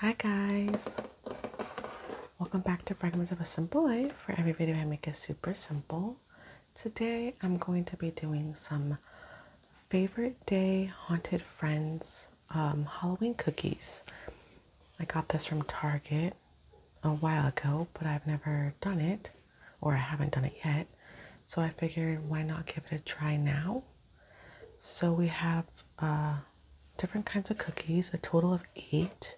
Hi guys! Welcome back to Fragments of a Simple Life. For every video I make is super simple. Today I'm going to be doing some favorite day haunted friends um, Halloween cookies. I got this from Target a while ago, but I've never done it or I haven't done it yet. So I figured why not give it a try now? So we have uh, different kinds of cookies, a total of eight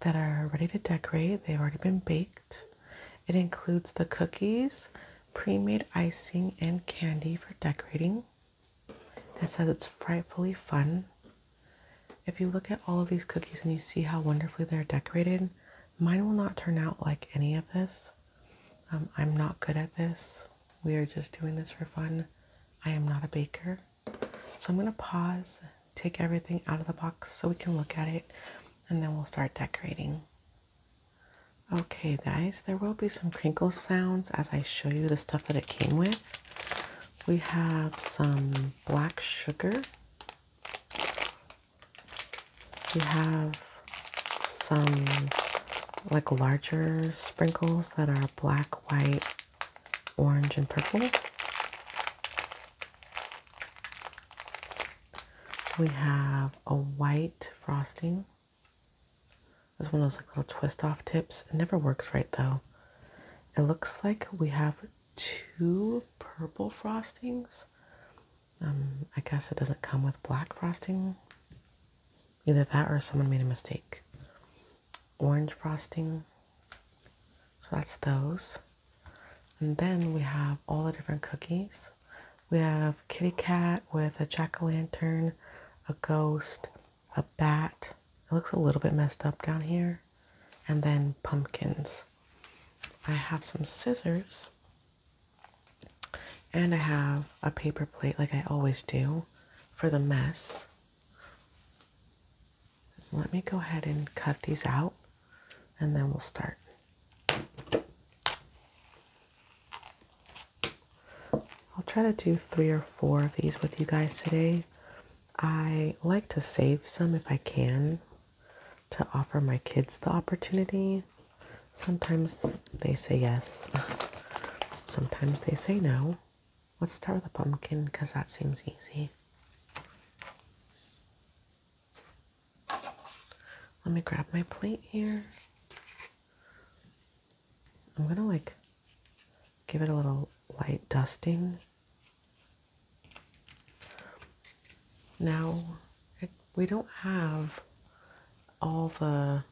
that are ready to decorate. They've already been baked. It includes the cookies, pre-made icing, and candy for decorating. That says it's frightfully fun. If you look at all of these cookies and you see how wonderfully they're decorated, mine will not turn out like any of this. Um, I'm not good at this. We are just doing this for fun. I am not a baker. So I'm going to pause, take everything out of the box so we can look at it, and then we'll start decorating. Okay, guys, there will be some crinkle sounds as I show you the stuff that it came with. We have some black sugar. We have some like larger sprinkles that are black, white, orange, and purple. We have a white frosting. It's one of those like little twist off tips. It never works right though. It looks like we have two purple frostings. Um, I guess it doesn't come with black frosting. Either that or someone made a mistake. Orange frosting. So that's those. And then we have all the different cookies. We have kitty cat with a jack-o'-lantern, a ghost, a bat. It looks a little bit messed up down here. And then pumpkins. I have some scissors. And I have a paper plate like I always do for the mess. Let me go ahead and cut these out and then we'll start. I'll try to do three or four of these with you guys today. I like to save some if I can to offer my kids the opportunity. Sometimes they say yes. Sometimes they say no. Let's start with a pumpkin because that seems easy. Let me grab my plate here. I'm gonna like give it a little light dusting. Now, we don't have all the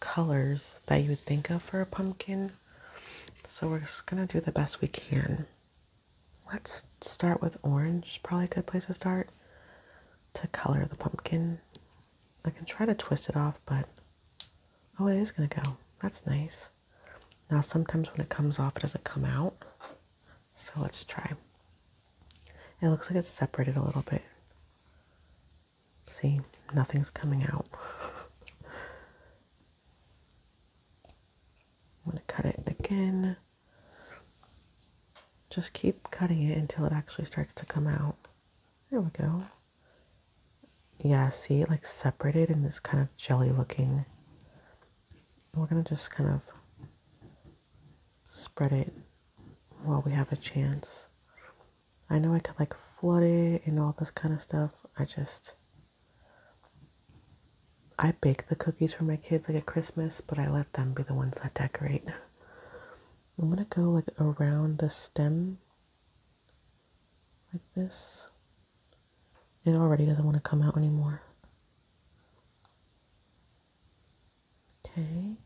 colors that you would think of for a pumpkin. So we're just going to do the best we can. Let's start with orange, probably a good place to start to color the pumpkin. I can try to twist it off, but oh, it is going to go. That's nice. Now, sometimes when it comes off, it doesn't come out. So let's try. It looks like it's separated a little bit. See, nothing's coming out. I'm going to cut it again. Just keep cutting it until it actually starts to come out. There we go. Yeah, see, it like separated in this kind of jelly looking. We're going to just kind of spread it while we have a chance. I know I could like flood it and all this kind of stuff. I just, I bake the cookies for my kids like at Christmas, but I let them be the ones that decorate. I'm gonna go like around the stem like this. It already doesn't want to come out anymore. Okay.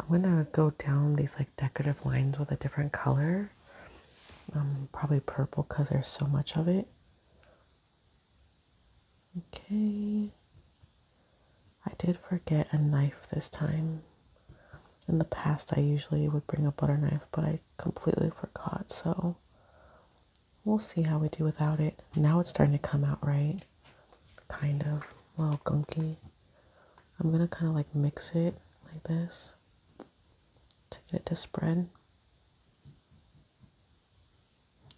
I'm gonna go down these like decorative lines with a different color. Um, probably purple because there's so much of it. Okay. I did forget a knife this time. In the past, I usually would bring a butter knife, but I completely forgot. So we'll see how we do without it. Now it's starting to come out right kind of a little gunky. I'm gonna kind of like mix it like this to get it to spread.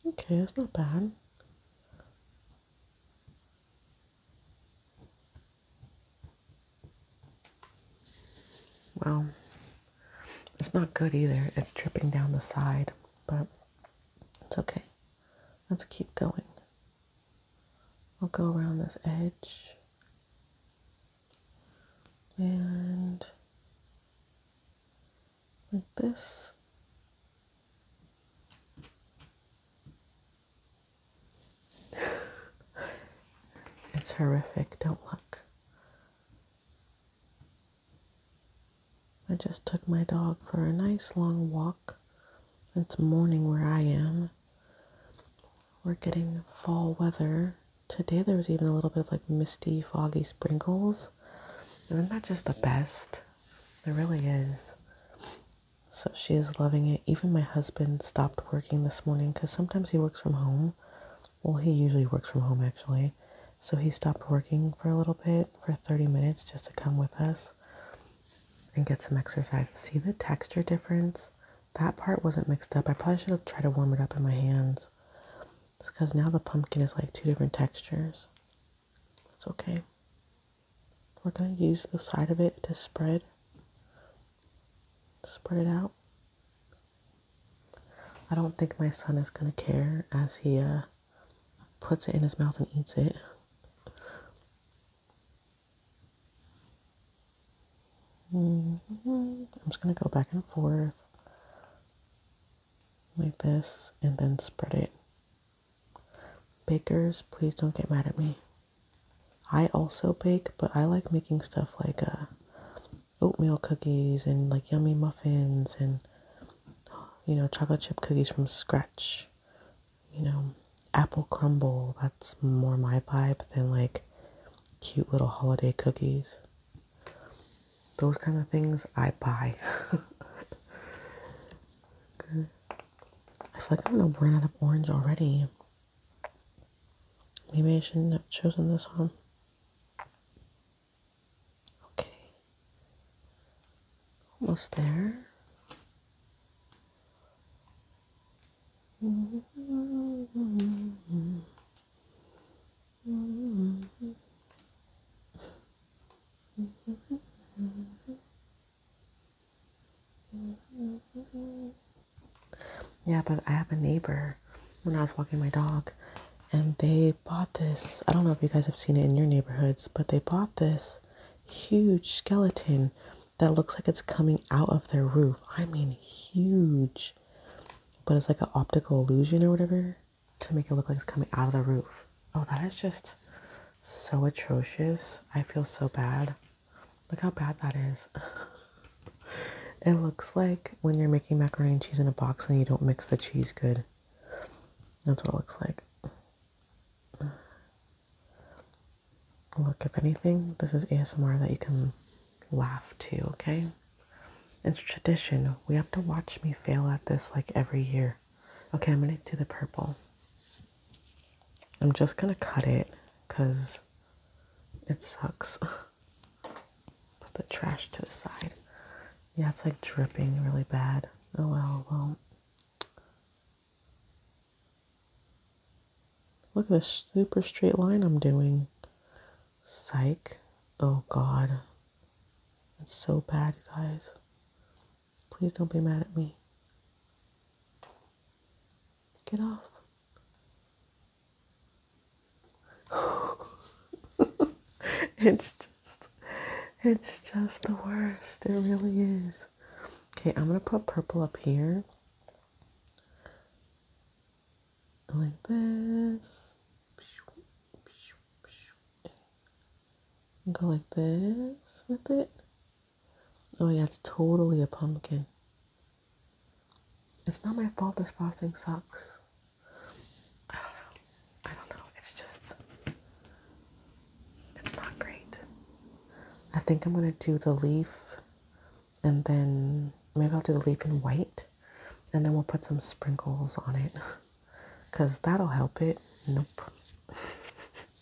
Okay, it's not bad. Well, it's not good either. It's dripping down the side, but it's okay. Let's keep going. I'll go around this edge and like this. it's horrific, don't look. I just took my dog for a nice long walk. It's morning where I am. We're getting fall weather. Today there was even a little bit of like misty, foggy sprinkles. Isn't that just the best? There really is. So she is loving it. Even my husband stopped working this morning because sometimes he works from home. Well, he usually works from home actually. So he stopped working for a little bit, for 30 minutes, just to come with us and get some exercise. See the texture difference? That part wasn't mixed up. I probably should have tried to warm it up in my hands. It's because now the pumpkin is like two different textures. It's okay. We're going to use the side of it to spread. Spread it out. I don't think my son is going to care as he uh, puts it in his mouth and eats it. Mm-hmm. I'm just going to go back and forth like this and then spread it. Bakers, please don't get mad at me. I also bake, but I like making stuff like uh, oatmeal cookies and like yummy muffins and you know chocolate chip cookies from scratch you know, apple crumble. That's more my vibe than like cute little holiday cookies. Those kind of things I buy. I feel like I'm gonna run out of orange already. Maybe I shouldn't have chosen this one. Okay. Almost there. Yeah, but I have a neighbor when I was walking my dog, and they they bought this. I don't know if you guys have seen it in your neighborhoods, but they bought this huge skeleton that looks like it's coming out of their roof. I mean, huge. But it's like an optical illusion or whatever to make it look like it's coming out of the roof. Oh, that is just so atrocious. I feel so bad. Look how bad that is. it looks like when you're making macaroni and cheese in a box and you don't mix the cheese good. That's what it looks like. Look, if anything, this is ASMR that you can laugh to, okay? It's tradition. We have to watch me fail at this like every year. Okay, I'm gonna do the purple. I'm just gonna cut it because it sucks. Put the trash to the side. Yeah, it's like dripping really bad. Oh well, well. Look at this super straight line I'm doing. Psych. Oh god. It's so bad, guys. Please don't be mad at me. Get off. it's just it's just the worst. It really is. Okay, I'm going to put purple up here. Like this. Go like this with it. Oh yeah, it's totally a pumpkin. It's not my fault this frosting sucks. I don't know. It's just, it's not great. I think I'm going to do the leaf and then maybe I'll do the leaf in white and then we'll put some sprinkles on it because that'll help it. Nope.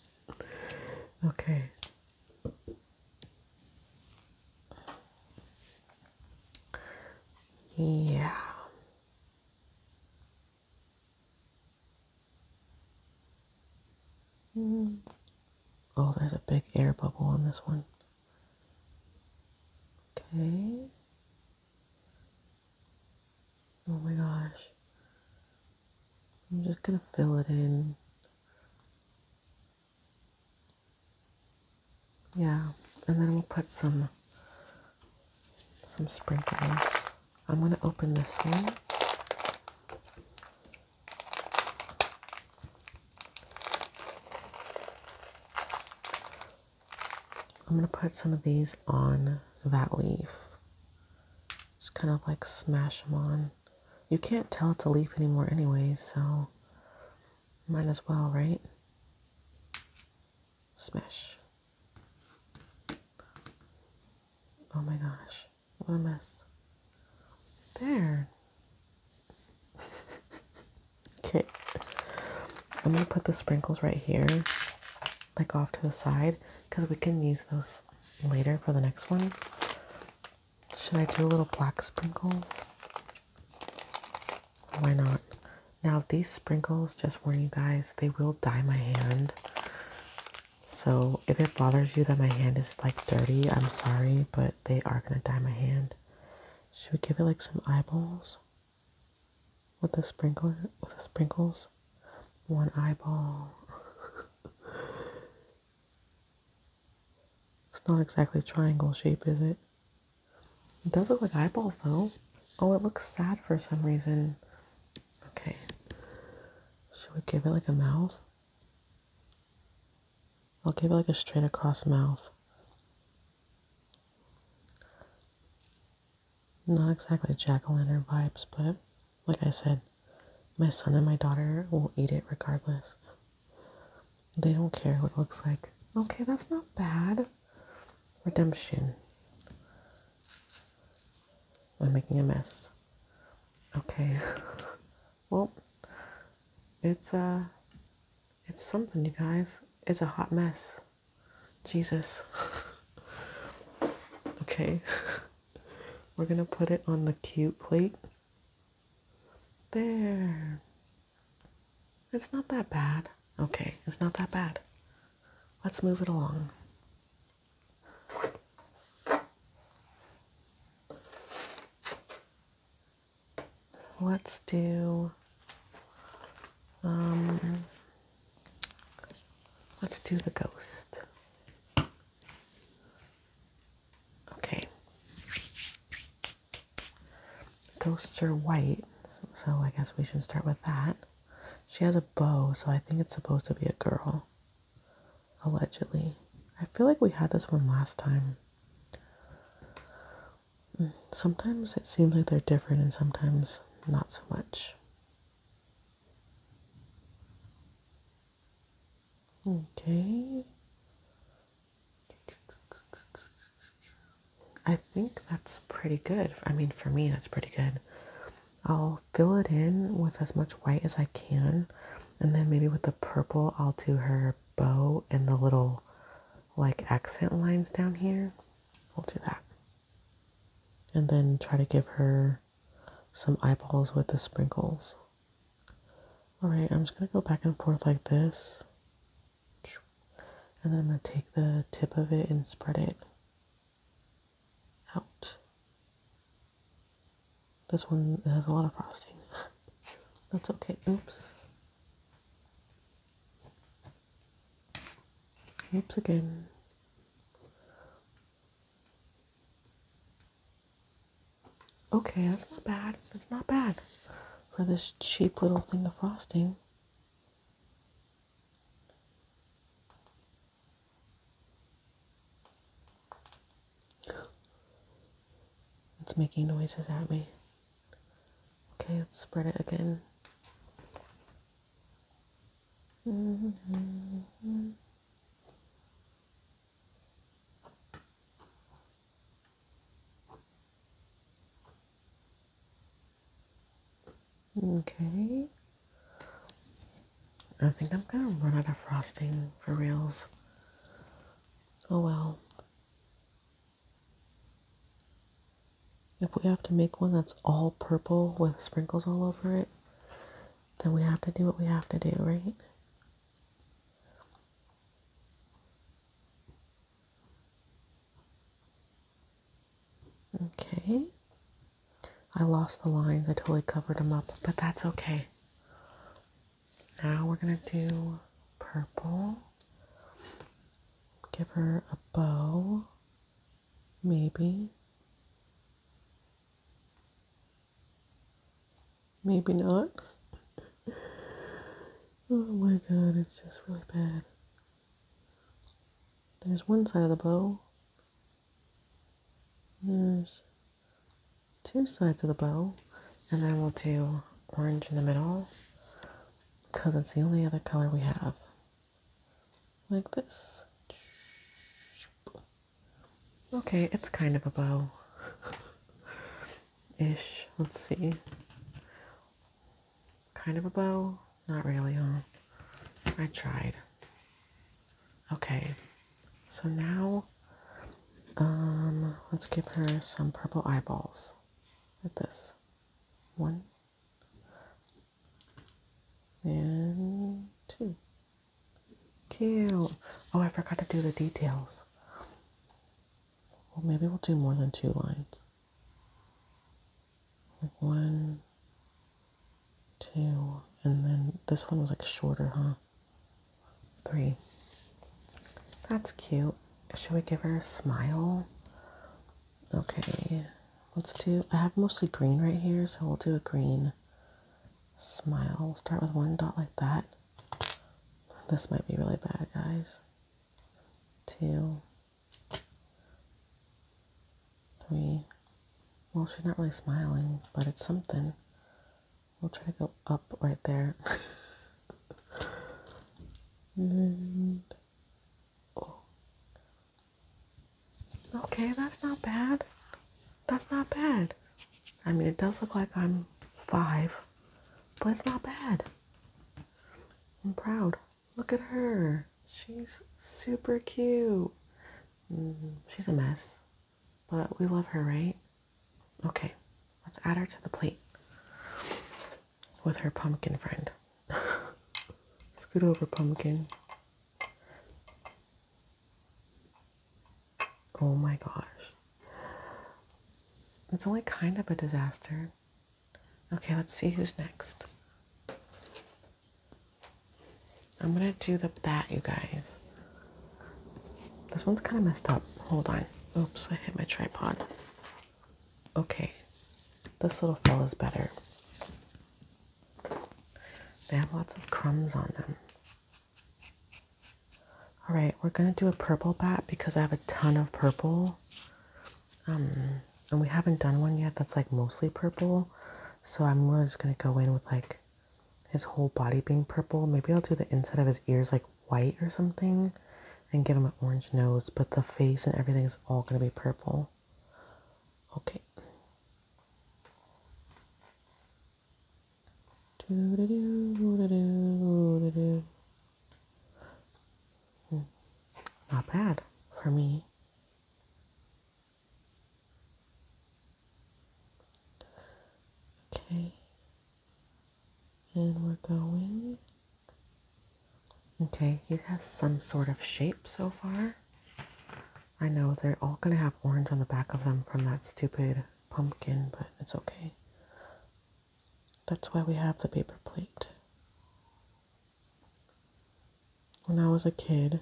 okay. Yeah. Mm-hmm. Oh, there's a big air bubble on this one. Okay. Oh my gosh. I'm just going to fill it in. Yeah, and then we'll put some some sprinkles. I'm going to open this one. I'm going to put some of these on that leaf. Just kind of like smash them on. You can't tell it's a leaf anymore anyways, so might as well, right? Smash. Oh my gosh, what a mess. There. okay. I'm going to put the sprinkles right here, like off to the side, because we can use those later for the next one. Should I do little black sprinkles? Why not? Now, these sprinkles, just warn you guys, they will dye my hand. So, if it bothers you that my hand is like dirty, I'm sorry, but they are gonna dye my hand. Should we give it like some eyeballs? With the sprinkler, with the sprinkles? One eyeball. it's not exactly triangle shape, is it? It does look like eyeballs though. Oh, it looks sad for some reason. Okay. Should we give it like a mouth? I'll give it like a straight across mouth. Not exactly jack-o'-lantern vibes, but like I said, my son and my daughter will eat it regardless. They don't care what it looks like. Okay, that's not bad redemption. I'm making a mess. Okay. well, it's uh it's something you guys. It's a hot mess. Jesus. okay. We're going to put it on the cute plate. There. It's not that bad. Okay, it's not that bad let's move it along. Let's do, um, let's do the ghost. Okay. Ghosts are white, so, so I guess we should start with that. She has a bow, so I think it's supposed to be a girl. Allegedly. I feel like we had this one last time. Mm, sometimes it seems like they're different, and sometimes not so much. Okay. I think that's pretty good. I mean, for me, that's pretty good. I'll fill it in with as much white as I can. And then maybe with the purple, I'll do her bow and the little like accent lines down here. We'll do that. And then try to give her some eyeballs with the sprinkles. All right, I'm just gonna go back and forth like this. And then I'm going to take the tip of it and spread it out. This one has a lot of frosting. That's okay. Oops. Oops again. Okay, that's not bad. That's not bad for this cheap little thing of frosting. It's making noises at me. Okay, let's spread it again. Okay. I think I'm gonna run out of frosting for reals. Oh well. If we have to make one that's all purple with sprinkles all over it, then we have to do what we have to do, right? Okay. I lost the lines. I totally covered them up, but that's okay. Now we're going to do purple. Give her a bow, maybe. Maybe not. oh my god, it's just really bad. There's one side of the bow. There's two sides of the bow. And I will do orange in the middle. Because it's the only other color we have. Like this. Okay, it's kind of a bow. Ish. Let's see. Kind of a bow? Not really, huh? I tried. Okay, so now um, let's give her some purple eyeballs. At this one and two. Cute. Oh, I forgot to do the details. Well, maybe we'll do more than two lines. One, two, and then this one was like shorter, huh? Three. That's cute. Should we give her a smile? Okay, let's do, I have mostly green right here, so we'll do a green smile. We'll start with one dot like that. This might be really bad, guys. Two, three. Well, she's not really smiling, but it's something. We'll try to go up right there. and, oh. Okay, that's not bad. That's not bad. I mean, it does look like I'm five, but it's not bad. I'm proud. Look at her. She's super cute. Mm-hmm. she's a mess, but we love her, right? Okay, let's add her to the plate with her pumpkin friend. Scoot over, pumpkin. Oh my gosh. It's only kind of a disaster. Okay, let's see who's next. I'm gonna do the bat, you guys. This one's kind of messed up. Hold on. Oops, I hit my tripod. Okay, this little fella's better. They have lots of crumbs on them. All right, we're gonna do a purple bat because I have a ton of purple. Um, and we haven't done one yet that's like mostly purple. So I'm really just gonna go in with like his whole body being purple. Maybe I'll do the inside of his ears like white or something and give him an orange nose, but the face and everything is all gonna be purple. Okay. Hmm. Not bad for me. Okay. And we're going. Okay, he has some sort of shape so far. I know they're all going to have orange on the back of them from that stupid pumpkin, but it's okay. That's why we have the paper plate. When I was a kid,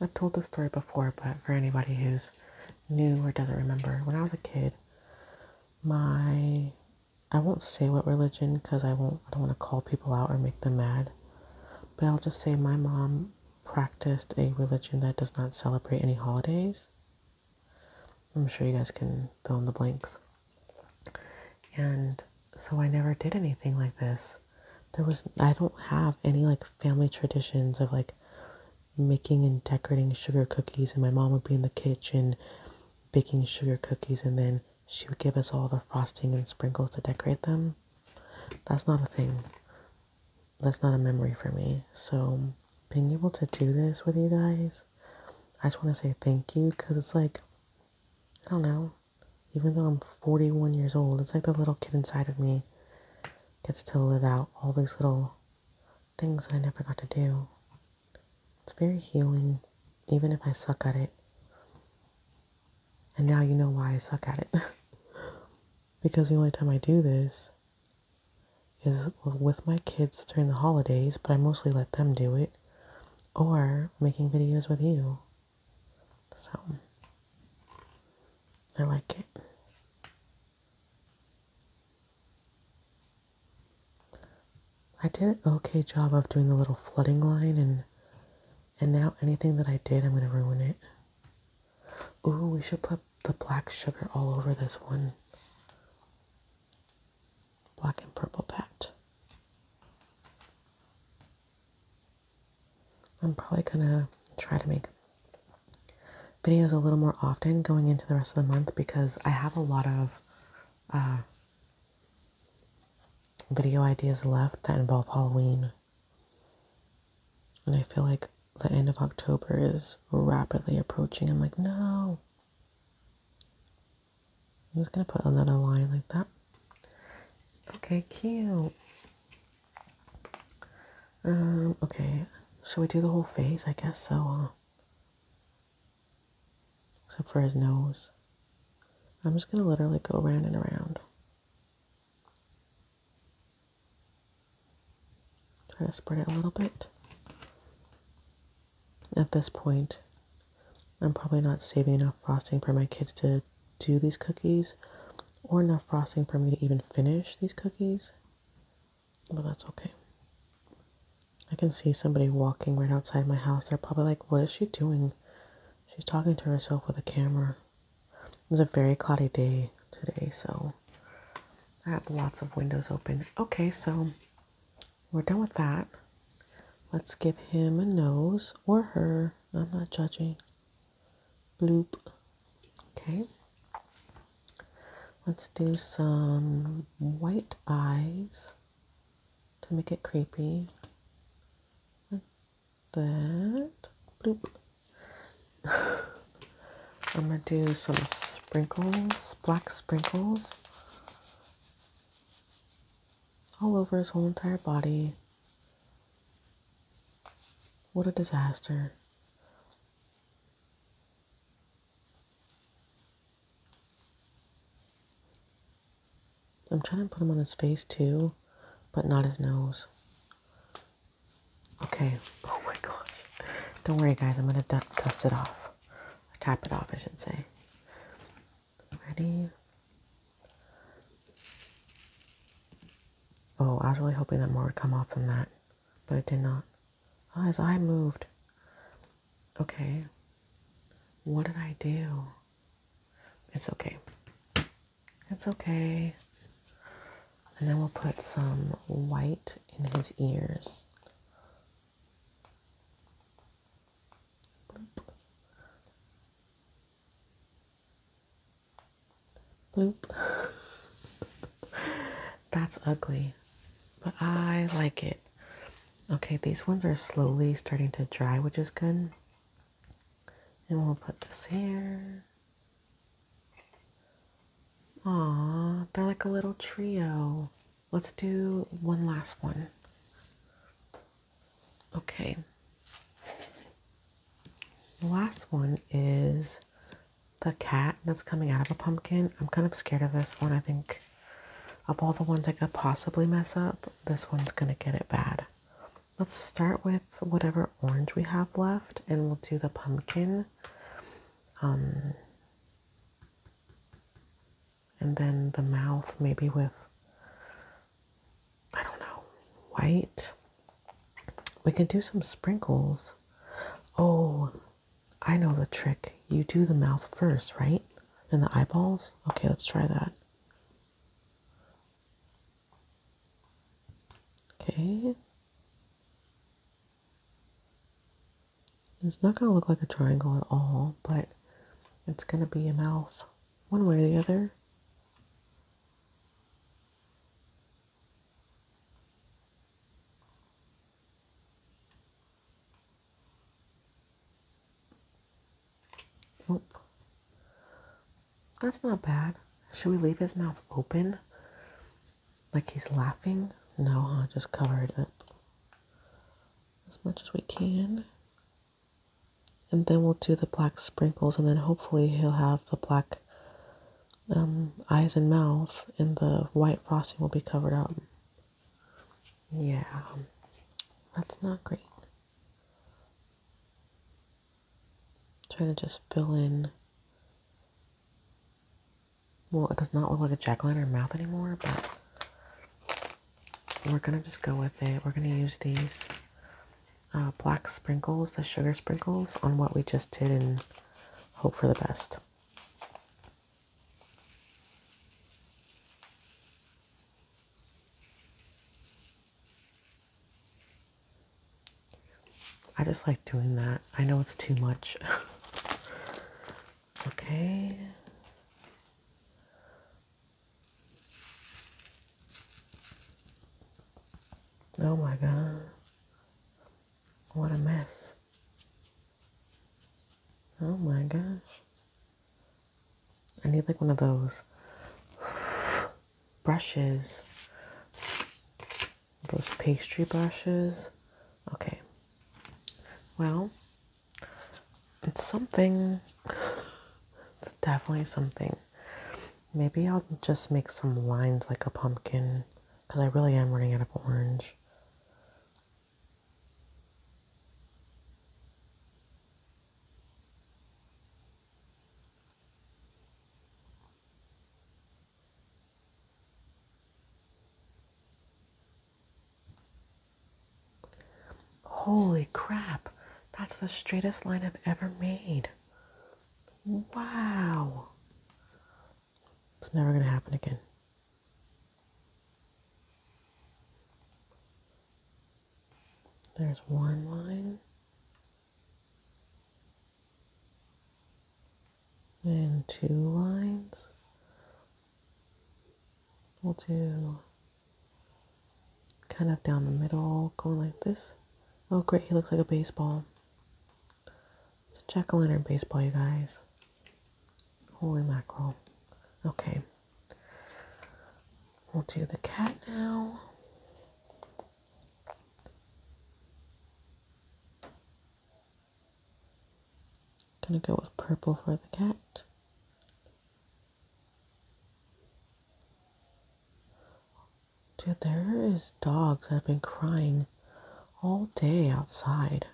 I've told this story before, but for anybody who's new or doesn't remember, when I was a kid, my I won't say what religion because I won't I don't want to call people out or make them mad. But I'll just say my mom practiced a religion that does not celebrate any holidays. I'm sure you guys can fill in the blanks. And so I never did anything like this. There was, I don't have any like family traditions of like making and decorating sugar cookies. And my mom would be in the kitchen baking sugar cookies and then she would give us all the frosting and sprinkles to decorate them. That's not a thing. That's not a memory for me. So being able to do this with you guys I just want to say thank you because it's like, I don't know, even though I'm 41 years old, it's like the little kid inside of me gets to live out all these little things that I never got to do. It's very healing, even if I suck at it. And now you know why I suck at it. because the only time I do this is with my kids during the holidays, but I mostly let them do it or making videos with you. So, I like it. I did an okay job of doing the little flooding line and and now anything that I did, I'm going to ruin it. Ooh, we should put the black sugar all over this one black and purple packed. I'm probably gonna try to make videos a little more often going into the rest of the month because I have a lot of uh, video ideas left that involve Halloween. And I feel like the end of October is rapidly approaching. I'm like, no, I'm just going to put another line like that. Okay, cute. Um, okay. Should we do the whole face? I guess so, huh? Except for his nose. I'm just going to literally go around and around. Try to spread it a little bit. At this point, I'm probably not saving enough frosting for my kids to do these cookies or enough frosting for me to even finish these cookies, but that's okay. I can see somebody walking right outside my house. They're probably like, What is she doing? She's talking to herself with a camera. It's a very cloudy day today, so I have lots of windows open. Okay, so we're done with that. Let's give him a nose or her. I'm not judging. Bloop. Okay. Let's do some white eyes to make it creepy. Like that. Bloop. I'm going to do some sprinkles, black sprinkles all over his whole entire body. What a disaster. I'm trying to put him on his face too, but not his nose. Okay. Oh my gosh. Don't worry, guys. I'm going to dust it off off. Top it off, I should say. Ready? Oh, I was really hoping that more would come off than that, but it did not. Oh, his eye moved. Okay. What did I do? It's okay. It's okay. And then we'll put some white in his ears. Bloop. That's ugly, but I like it. Okay, these ones are slowly starting to dry, which is good. And we'll put this here. Aw, they're like a little trio. Let's do one last one. Okay. The last one is the cat that's coming out of a pumpkin. I'm kind of scared of this one. I think of all the ones I could possibly mess up, this one's going to get it bad. Let's start with whatever orange we have left and we'll do the pumpkin. Um, and then the mouth, maybe with, I don't know, white. We can do some sprinkles. Oh, I know the trick. You do the mouth first, right? And the eyeballs? Okay, let's try that. Okay. It's not going to look like a triangle at all, but it's going to be a mouth one way or the other. Nope. That's not bad. Should we leave his mouth open? Like he's laughing? No, I huh? just cover it up as much as we can. And then we'll do the black sprinkles, and then hopefully he'll have the black um, eyes and mouth, and the white frosting will be covered up. Yeah, that's not great. i trying to just fill in well, it does not look like a jack o in her mouth anymore, but we're gonna just go with it. We're gonna use these uh, black sprinkles, the sugar sprinkles, on what we just did and hope for the best. I just like doing that. I know it's too much. Okay. Oh my God. What a mess. Oh my gosh. I need like one of those brushes those pastry brushes. Okay. Well, it's something. it's definitely something. Maybe I'll just make some lines like a pumpkin because I really am running out of orange. Holy crap, that's the straightest line I've ever made. Wow. It's never going to happen again. There's one line. And two lines. We'll do kind of down the middle, going like this. Oh, great, he looks like a baseball. It's a jack o' lantern baseball, you guys. Holy mackerel. Okay. We'll do the cat now. Gonna go with purple for the cat. Dude, there is dogs that have been crying all day outside.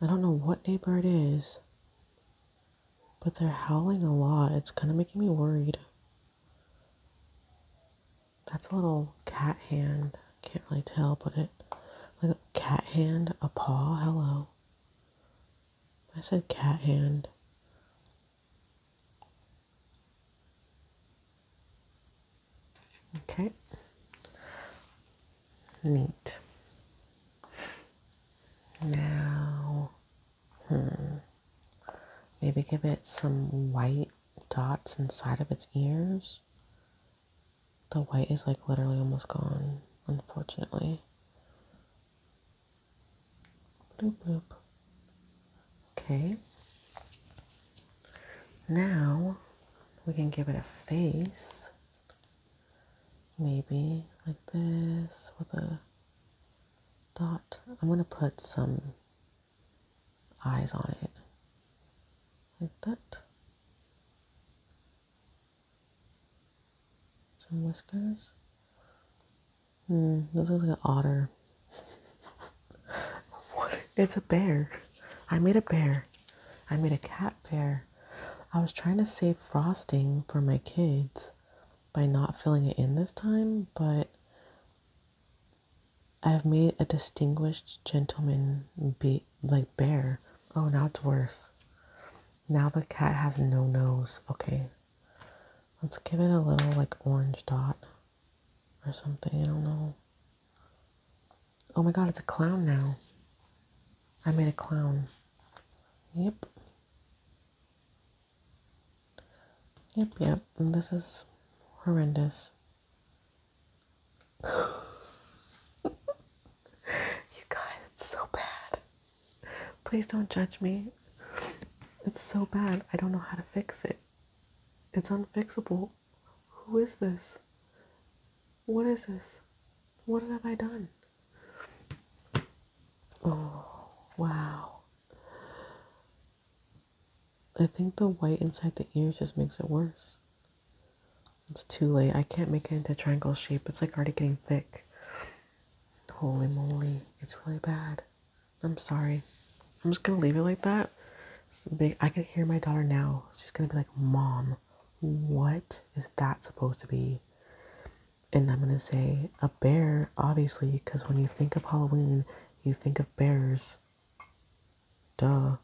I don't know what neighbor it is, but they're howling a lot. It's kind of making me worried. That's a little cat hand. Can't really tell, but it like a cat hand, a paw, hello. I said cat hand. Okay. Neat. Now, hmm. Maybe give it some white dots inside of its ears. The white is like literally almost gone, unfortunately. Okay. Now we can give it a face. Maybe like this with a dot. I'm going to put some eyes on it like that. Some whiskers. Hmm, this looks like an otter. what? It's a bear. I made a bear. I made a cat bear. I was trying to save frosting for my kids by not filling it in this time, but I have made a distinguished gentleman be like bear. Oh, now it's worse. Now the cat has no nose. Okay. Let's give it a little like orange dot or something. I don't know. Oh my god, it's a clown now. I made a clown. Yep. Yep, yep. And this is horrendous. you guys, it's so bad. Please don't judge me. It's so bad. I don't know how to fix it. It's unfixable. Who is this? What is this? What have I done? Oh, wow. I think the white inside the ear just makes it worse. It's too late. I can't make it into triangle shape. It's like already getting thick. Holy moly. It's really bad. I'm sorry. I'm just going to leave it like that. Big, I can hear my daughter now. She's going to be like, Mom, what is that supposed to be? And I'm going to say, a bear, obviously, because when you think of Halloween, you think of bears. Duh.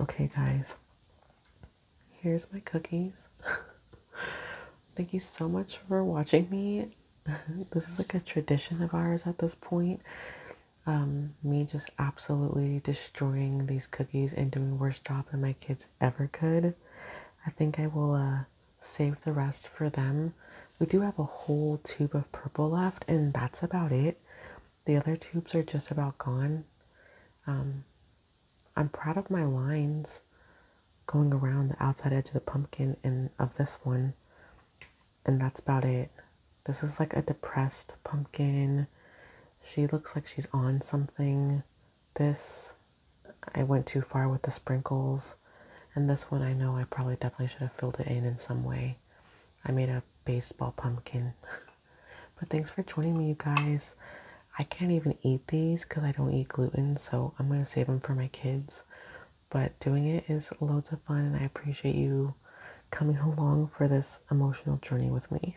Okay, guys. Here's my cookies. Thank you so much for watching me. this is like a tradition of ours at this point. Um, me just absolutely destroying these cookies and doing worse job than my kids ever could. I think I will uh, save the rest for them. We do have a whole tube of purple left, and that's about it. The other tubes are just about gone. Um, I'm proud of my lines going around the outside edge of the pumpkin and of this one. And that's about it. This is like a depressed pumpkin. She looks like she's on something. This, I went too far with the sprinkles. And this one, I know I probably definitely should have filled it in in some way. I made a baseball pumpkin. but thanks for joining me, you guys. I can't even eat these because I don't eat gluten, so I'm going to save them for my kids. But doing it is loads of fun, and I appreciate you coming along for this emotional journey with me.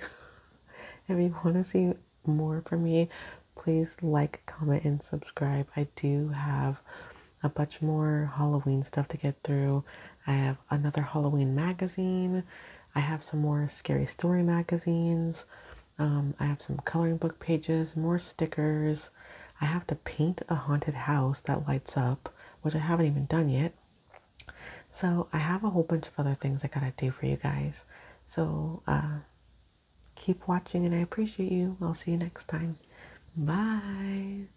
if you want to see more from me, please like, comment, and subscribe. I do have a bunch more Halloween stuff to get through. I have another Halloween magazine. I have some more scary story magazines. Um, I have some coloring book pages, more stickers. I have to paint a haunted house that lights up, which I haven't even done yet. So I have a whole bunch of other things I gotta do for you guys. So uh, keep watching and I appreciate you. I'll see you next time. Bye.